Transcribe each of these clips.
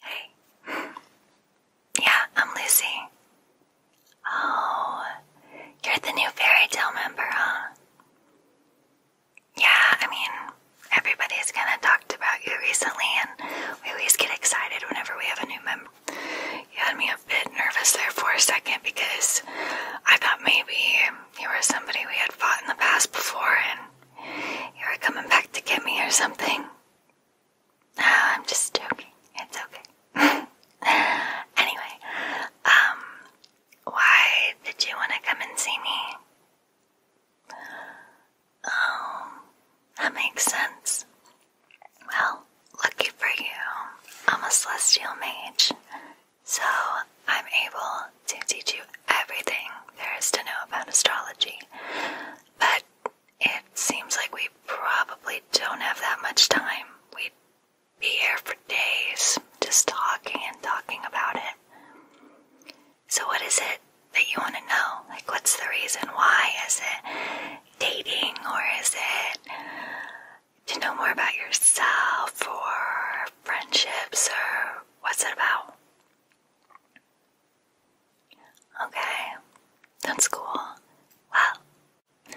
Hey. Yeah, I'm Lucy. Oh, you're the new fairy tale member, huh? Yeah, I mean, everybody's kind of talked about you recently, and we always get excited whenever we have a new member. You had me a bit nervous there for a second because I thought maybe you were somebody we had fought in the past before and you were coming back to get me or something. I'm just joking. It's okay. anyway, um, why did you want to come and see me? Oh, that makes sense. Well, lucky for you, I'm a celestial mage, so I'm able to teach you everything there is to know about astrology. But it seems like we probably don't have that much time. We'd be here for days just talking and talking about it. So, what is it that you want to know? Like, what's the reason? Why is it dating, or is it to know more about yourself, or friendships, or what's it about? Okay, that's cool. Well,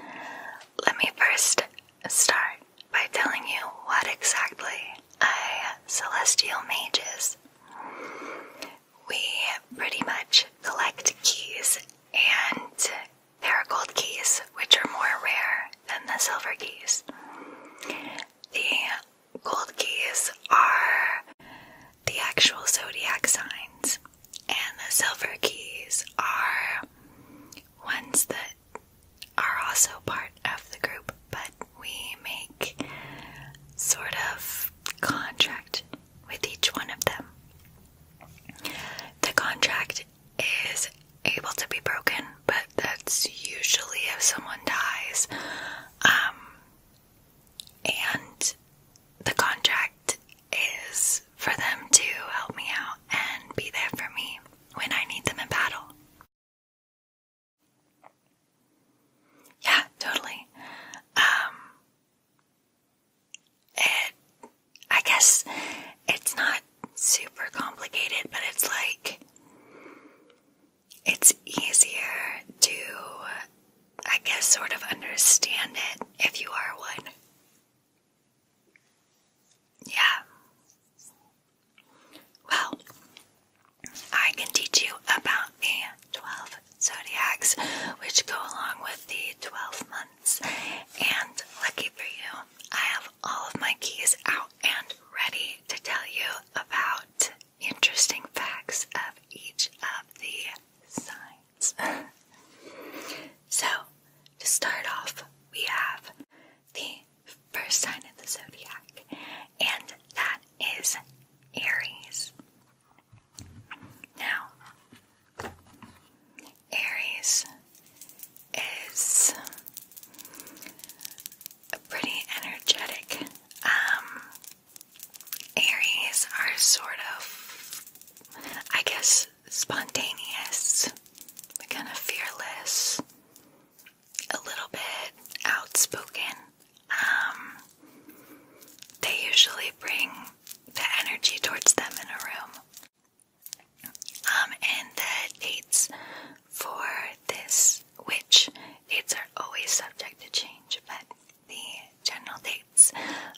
let me first start by telling you what exactly I celestial mages. We pretty much collect keys, and there are gold keys, which are more rare than the silver keys. The gold keys are the actual zodiac signs, and the silver keys are ones that are also part of the group, but we make sort of contract with each one of them. The contract is able to be broken, but that's usually if someone dies. Um, and the contract is for them to help me out and be there for me when I need them in battle. Yeah, totally. Um, it I guess it's not super complicated, but it's like it's easier to, I guess, sort of understand it if you are one. Yeah. Well, I can teach you about the 12 zodiacs, which go along with the 12 months. And lucky for you, I have all of my keys out and ready to tell you about interesting facts of each of the signs. so, to start off, we have the first sign of the zodiac, and that is Aries. Now, Aries is a pretty energetic um, Aries are sort of, I guess, spontaneous, kind of fearless, a little bit outspoken. Um, they usually bring the energy towards them in a room. Um, and the dates for this which dates are always subject to change, but the general dates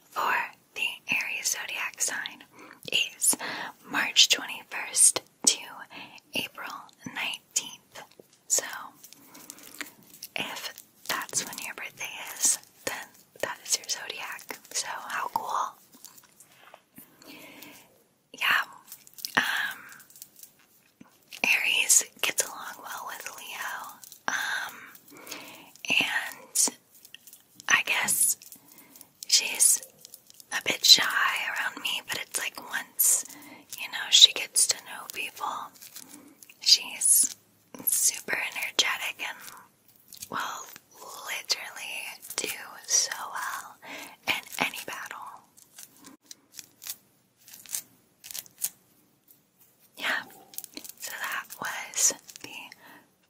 for the Aries zodiac sign is March 21st to April 19th. So, if that's when your birthday is, then that is your zodiac. So, how cool! Yeah, um, Aries gets along well with Leo. Um, and I guess she's a bit shy around me, but it's like once, you know, she gets to know people, she's super energetic and will literally do so well in any battle. Yeah, so that was the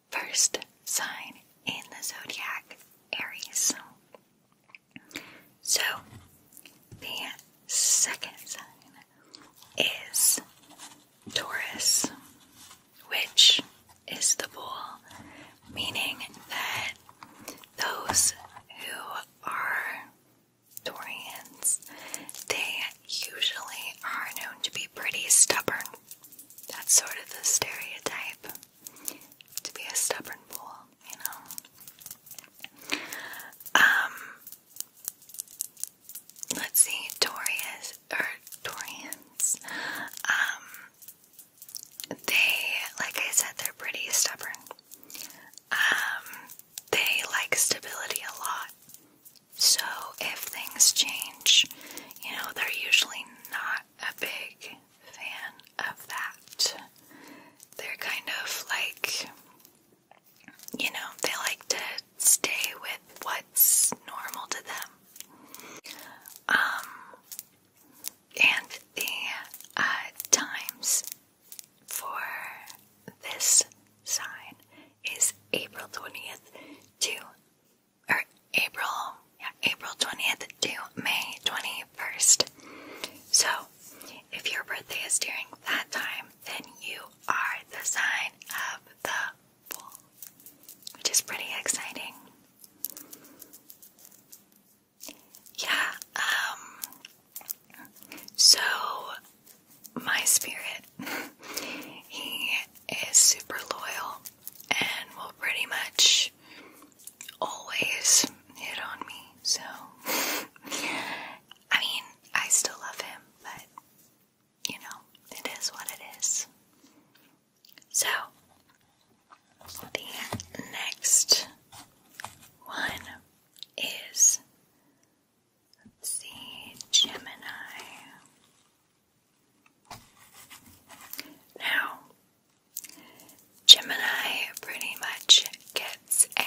first sign in the zodiac, Aries. So, the second sign is Taurus, which is the bull, meaning that those who are Torians, they usually are known to be pretty stubborn. That's sort of the stereotype. To be a stubborn bull, you know. Um let's see, Torias or Torians. Um they like I said they're pretty stubborn. Um they like stability a lot. So if things change, you know, they're usually not a big fan of that. They're kind of like, you know, they like to stay with what's normal to them. Um, and the uh, times for this sign is April 20th to or April, yeah, April 20th to May 21st. So, if your birthday is during that time, then you are the sign of the bull, which is pretty exciting. Yeah, um, so, my spirit, he is super loyal and will pretty much always hit on me. So, I mean, I still love him, but you know, it is what it is. So, the next one is see, Gemini. Now, Gemini pretty much gets a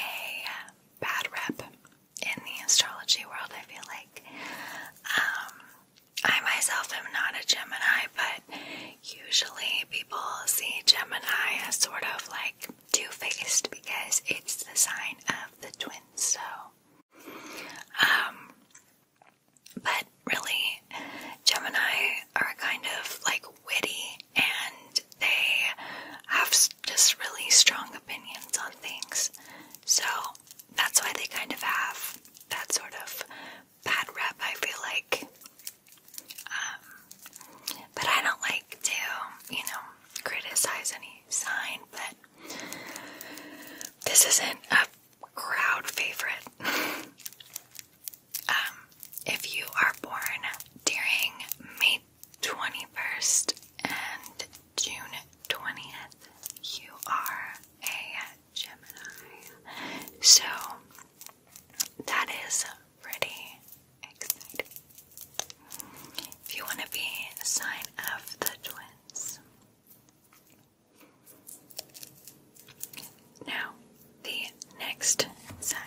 bad rep in the astrology world, I feel like. Um, I myself am not a Gemini, but usually people see Gemini as sort of like Two Faced because it's the sign of the twins, so. Um, but really, Gemini are kind of like witty and they have just really strong opinions on things. So that's why they kind of have that sort of bad rep, I feel like. Um, but I don't like to, you know, criticize any sign, but this isn't a crowd favorite. Um, if you are born during May 21st and June 20th, you are a Gemini. So that is pretty exciting. If you want to be a sign of the twins. Now, the next sign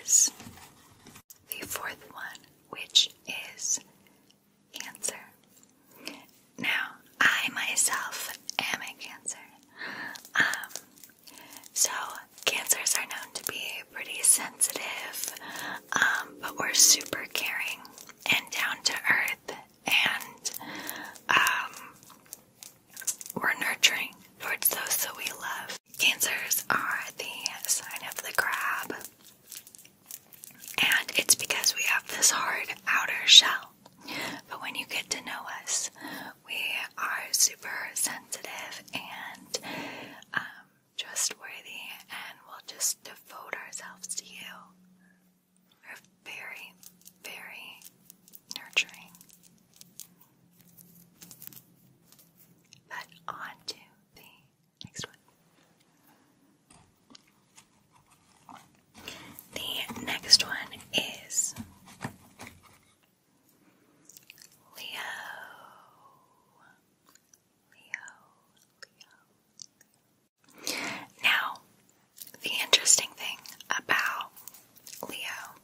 is the fourth one, which is Cancer. Now, I myself am a Cancer. Um, so, cancers are known to be pretty sensitive, um, but we're super caring and down to earth, and um, we're nurturing towards those that we love. Cancers are the sign of the crab, and it's because we have this hard outer shell. But when you get to know us, we are super sensitive and um, trustworthy, and we'll just devote ourselves to you. We're very, very nurturing. But on to the next one. The next one is Leo, Leo, Leo. Now, the interesting thing about Leo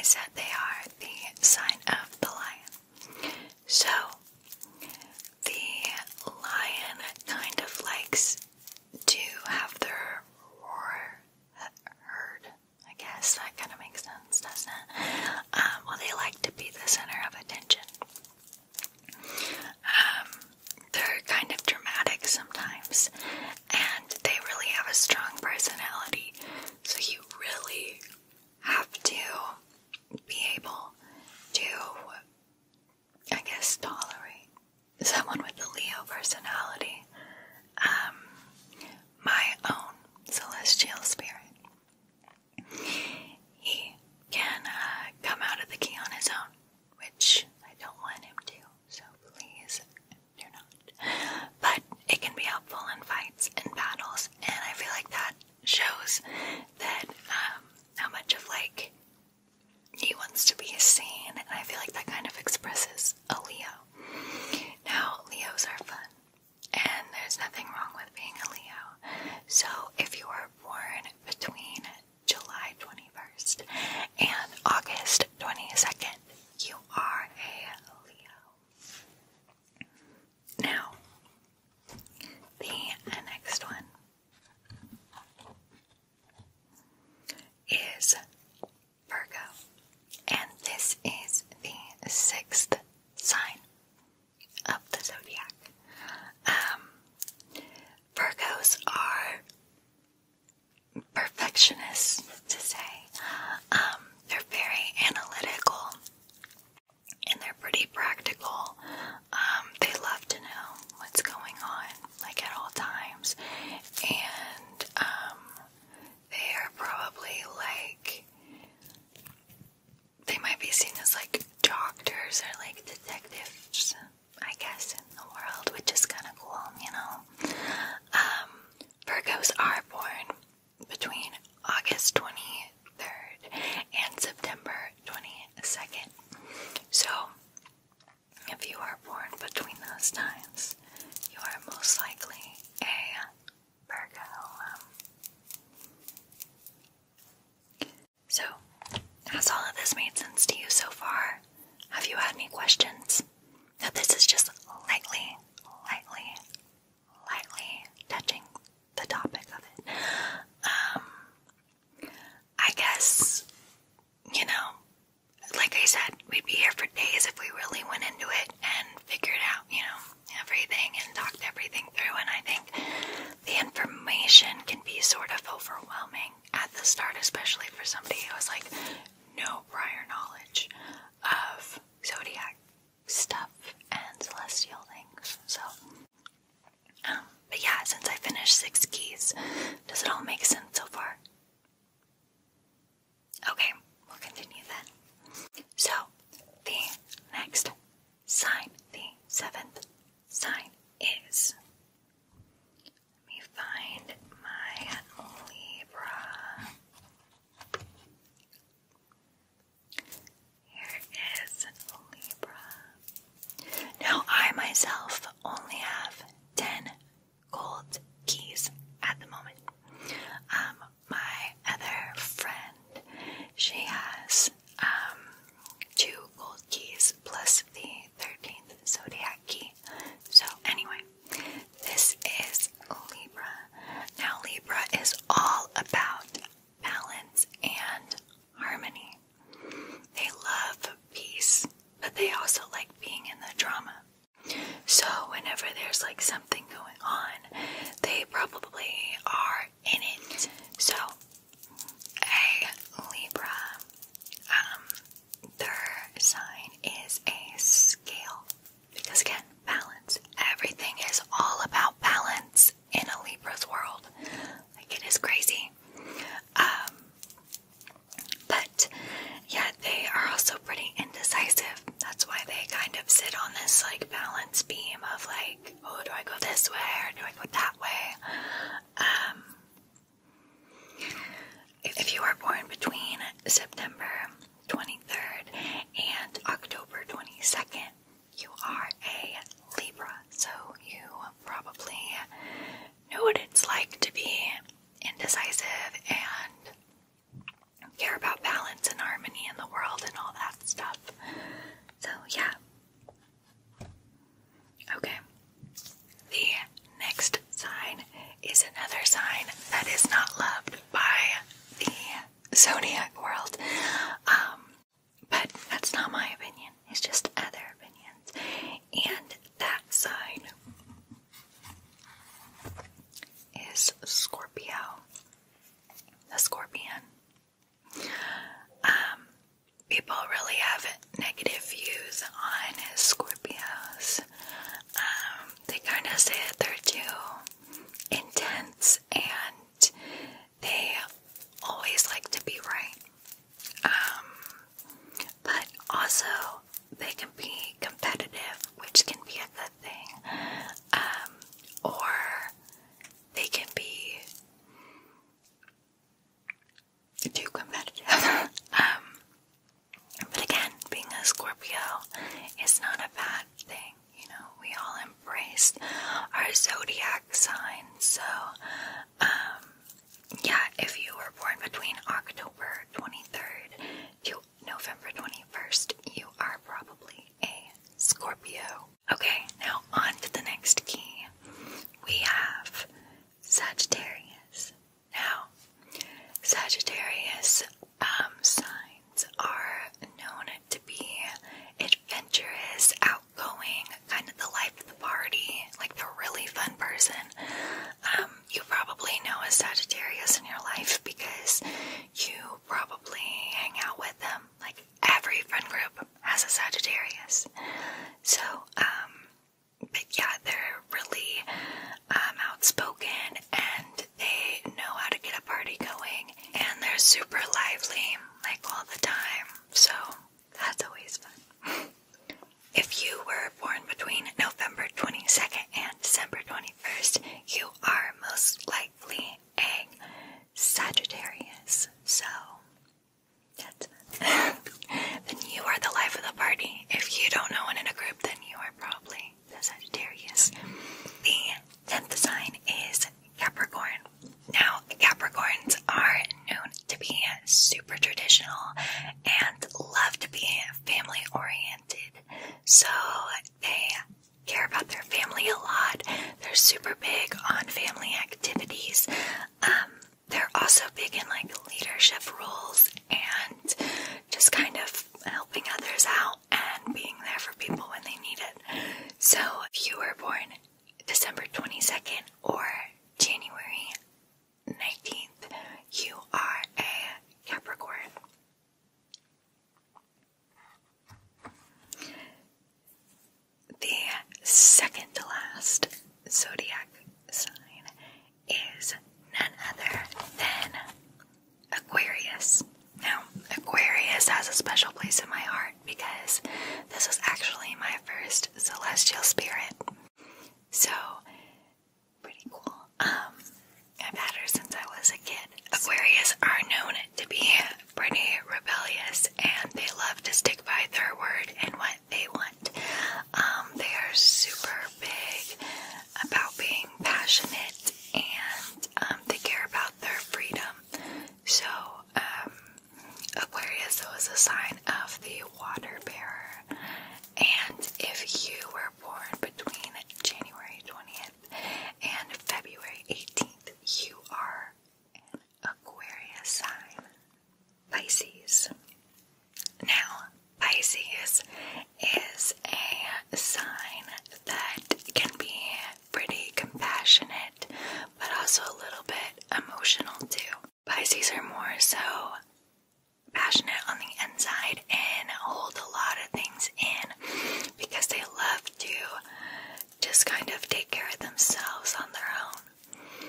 is that they are the sign of the lion. So, the lion kind of likes to have their roar heard I guess that kind of makes sense, doesn't it? Um, well, they like to be the center of attention. Um, they're kind of dramatic sometimes, and they really have a strong personality, so you really have to be able to, I guess, tolerate someone with a Leo personality. Um, my own celestial spirit. He can uh, come out of the key on his own, which I don't want him to, so please do not. But it can be helpful in fights and battles, and I feel like that shows that um, how much of like he wants to be seen, and I feel like that kind of expresses a Leo. Now, Leos are fun and there's nothing wrong with being a Leo. So, if you are born between July 21st and August 22nd, you are a Leo. Now, the next one is Virgo, and this is the sixth sign of the zodiac. Um, Virgos are perfectionists, to say. Um, they're very analytical and they're pretty practical. Um, they love to know what's going on, like at all times, and they are probably like they might be seen as like doctors or like detectives, I guess, in the world, which is kind of cool, you know. Um, Virgos are born between August 23rd and September 22nd. So, if you are born between those times, you are most likely a um, so, has all of this made sense to you so far? Have you had any questions? Now, this is just lightly, lightly, lightly touching the topic of it. Um, I guess, you know, like I said, we'd be here for days if we really went into it and figured out, you know, everything and talked everything through. And I think the information can be sort of overwhelming at the start, especially for somebody who has like no prior knowledge of zodiac stuff and celestial things. So, um, but yeah, since I finished Six Keys, does it all make sense so far? Okay, we'll continue then. So, the next sign, the seventh sign is. Let me find my Libra. Here is Libra. Now, I myself only have 10 gold keys at the moment. Um, my other friend, she has um, two gold keys plus the 13th zodiac key. So, anyway, this is Libra. Now, Libra is all about balance and harmony. They love peace, but they also like being in the drama. So, whenever there's like some something going on, they probably are in it. So, a Libra, um, their sign is a scale because, again, balance. Everything is all about balance in a Libra's world. Like, it is crazy. Um, but yeah, they are also pretty indecisive. That's why they kind of sit on this like balance beam of like, oh, do I go this way or do I go that way? Um, if you are born between September 23rd and October 22nd, you are a Libra, so you probably know what it's like to be indecisive and care about balance and harmony in the world and all that stuff. So, yeah. Okay. The next sign is another sign that is not loved by the zodiac world. Um, but that's not my opinion, it's just other opinions. And that sign is Scorpio the scorpion. Um, people really have negative views on Scorpios. Um, they kind of say that they're too intense and they always like to be right. Um, but also, they can be competitive, which can be a good thing. Um, or they can be too competitive. Um, but again, being a Scorpio is not a bad thing. You know, we all embrace our zodiac signs. So, um, yeah, if you were born between October 23rd to November 21st, you are probably a Scorpio. Okay, now on to the next key. We have Sagittarius. Now, Sagittarius um, signs are known to be adventurous, outgoing, kind of the life of the party, like the really fun person. Um, you probably know a Sagittarius in your life because you probably hang out with them. Like every friend group has a Sagittarius. So, um, but yeah, they're really um, outspoken and they know how to get a party going and they're super lively, like all the time. So, that's always fun. if you were born between November 22nd and December 21st, you are most likely a Sagittarius, so then you are the life of the party. If you don't know one in a group, then you are probably the Sagittarius. The tenth sign is Capricorn. Now, Capricorns are known to be super traditional and love to be family oriented, so they care about their family a lot. They're super big on family activities. Um, they're also big in like leadership roles and just kind of helping others out and being there for people when they need it. So if you were born December 22nd or January 19th, you are a Capricorn. The second to last zodiac sign is none other than Aquarius. Now, Aquarius has a special place in my heart because this was actually my first celestial spirit. So, pretty cool. Um, I've had her since I was a kid. Aquarius are known to be pretty rebellious and they love to stick by their word and what they want. Um, they are super big about being passionate and um, they care about their freedom. So, um, Aquarius was a sign of the water bearer. And if you were born between January 20th and February 18th, you are an Aquarius sign, Pisces. Now, Pisces is a sign that can be pretty compassionate, but also a little bit emotional too. Pisces are more so passionate on the inside and hold a lot of things in because they love to just kind of take care of themselves on their own.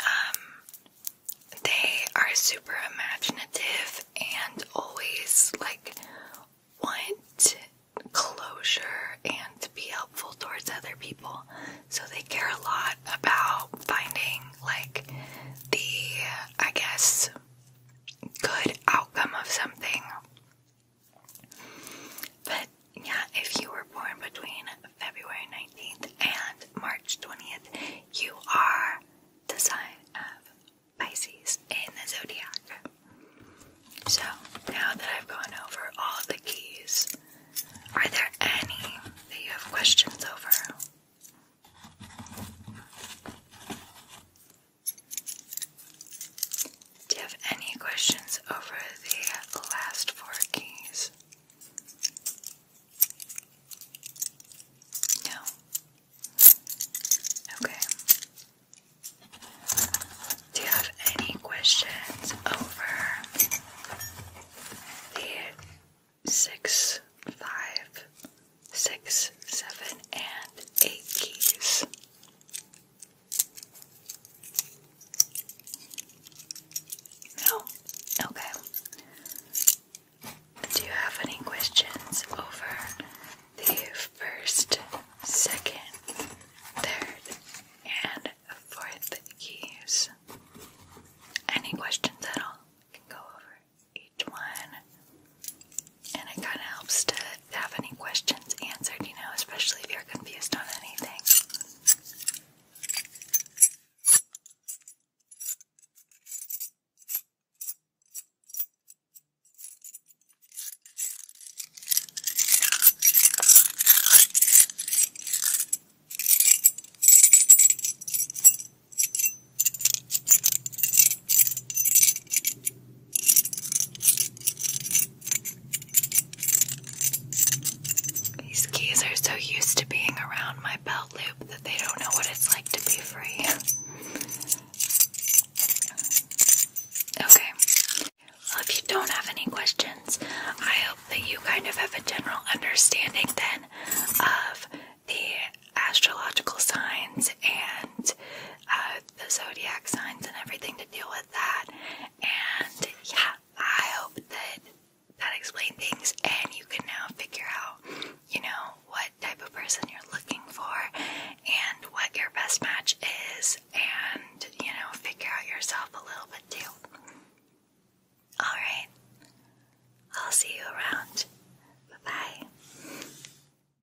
Um, they are super imaginative and always like want closure and be helpful towards other people. So they care a lot about finding like the, I guess, good outcome of something. But yeah, if you were born between February 19th and March 20th, you are the sign of Pisces in the zodiac. So now that I've gone over all the keys, are there any that you have questions over? Do you have any questions over the last four keys? No. Okay. Do you have any questions over the six, five, six, seven, and eight keys? No? Okay. Do you have any questions over the first, second, third, and fourth keys? Any questions at all? We can go over each one and it kind of helps to have any questions answered, you know, especially if you're confused on anything. These keys are so used to being around my belt loop that they don't know what it's like to be free. Okay. Well, if you don't have any questions, I hope that you kind of have a general understanding then of the astrological signs and uh, the zodiac signs and everything to deal with that. And yeah, I hope that that explained things and you can now figure out, you know, what type of person you're looking for and what your best match is and, you know, figure out yourself a little bit too. Alright, I'll see you around. Bye bye.